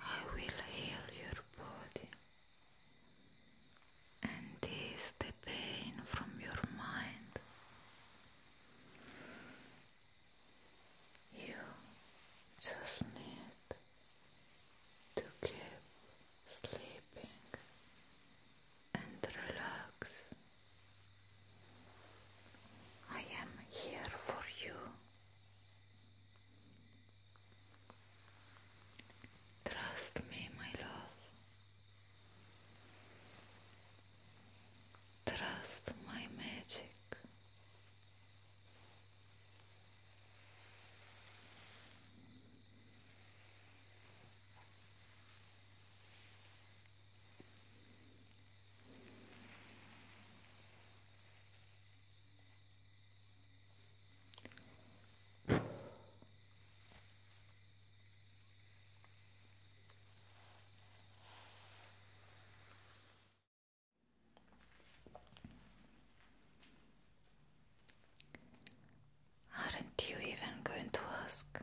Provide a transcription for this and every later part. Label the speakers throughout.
Speaker 1: I will heal your body and ease the pain from your mind. You just need to keep sleeping and relax. I am here for you. Trust me, my love. Trust my magic. Aren't you even going to ask?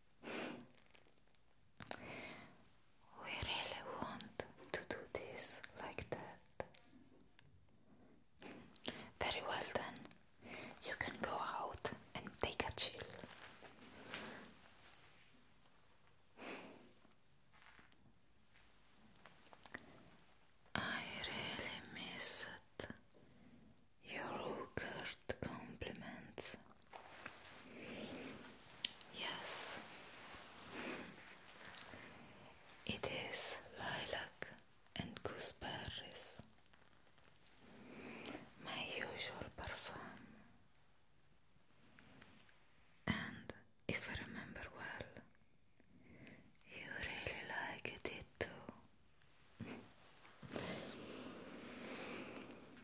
Speaker 1: We really want to do this like that. Very well then. You can go out and take a chill. I really miss it. Your hooker compliments. Yes, it is lilac and gooseberries, my usual parfum. And if I remember well, you really liked it too.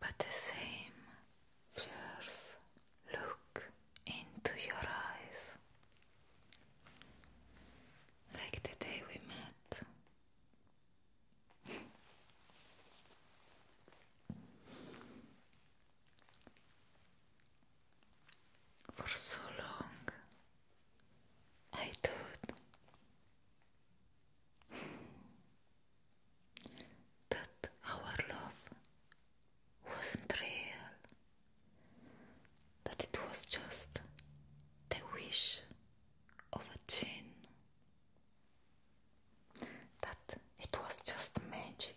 Speaker 1: But the same fierce look into your eyes, like the day we met. For so long I thought that our love wasn't real, that it was just the wish of a genie. That it was just magic,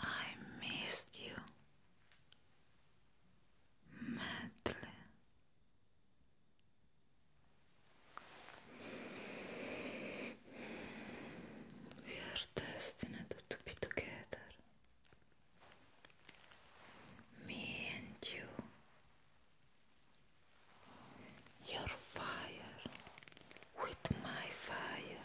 Speaker 1: I missed you madly. We are destined to be together. Me and you. Your fire with my fire.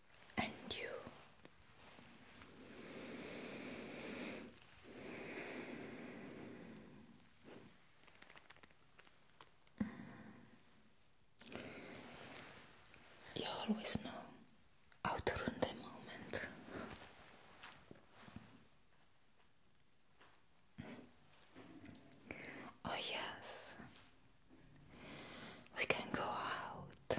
Speaker 1: and you. Mm. You always know how to run the moment. Mm. Oh, yes, we can go out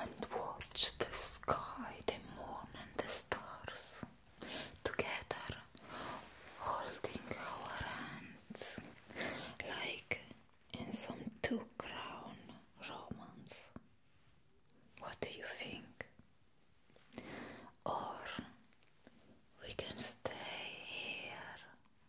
Speaker 1: and watch the sky, the moon, and the stars together, holding our hands like in some two crown romance. What do you think? Or we can stay here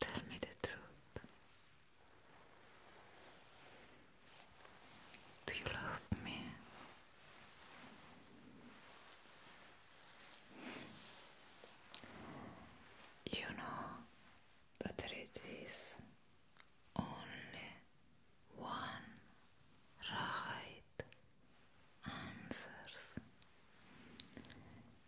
Speaker 1: Tell me the truth. Do you love me? You know that there is only one right answers.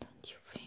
Speaker 1: don't you think?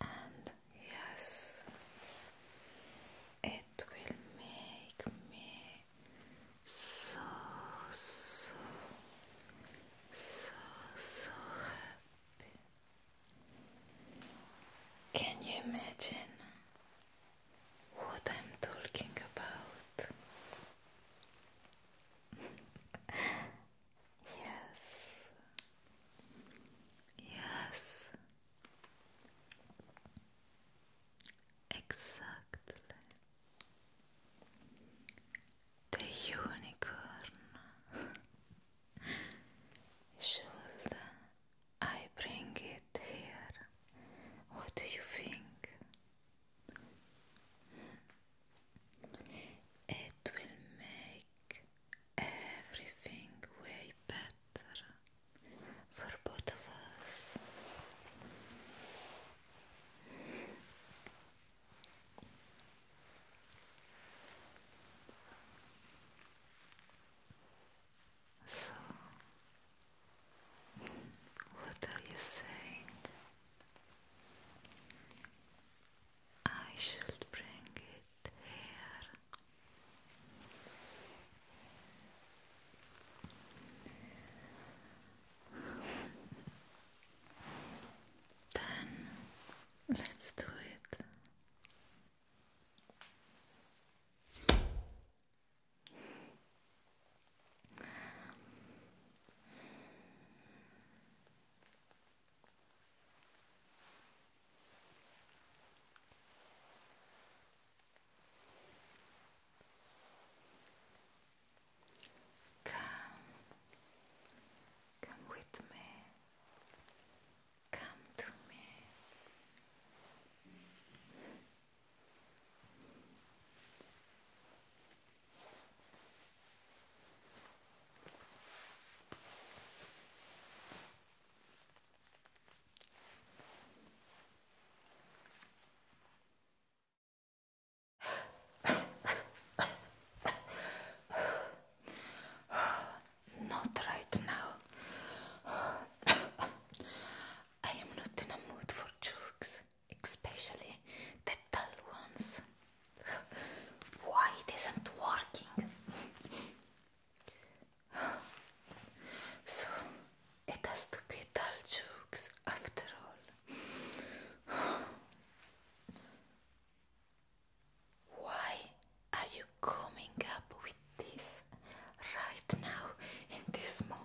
Speaker 1: and yes, it will make me so, so, so, so happy. Can you imagine what I'm talking about? Yes. Yes. Exactly. The unicorn. Should I bring it here? What do you think? It will make everything way better for both of us. So, what are you saying? I should bring it here. then let's do it. Come, come with me, come to me. Not right now. I am not in a mood for jokes. especially the dull ones. Why it isn't working? So it has to be dull jokes after all. Why are you coming up with this right now in this moment?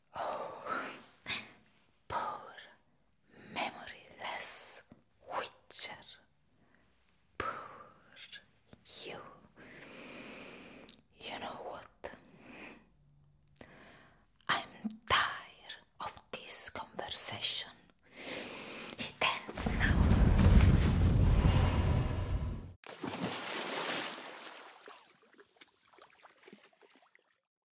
Speaker 1: Oh, poor memoryless witcher, poor you. You know what? I'm tired of this conversation. It ends now.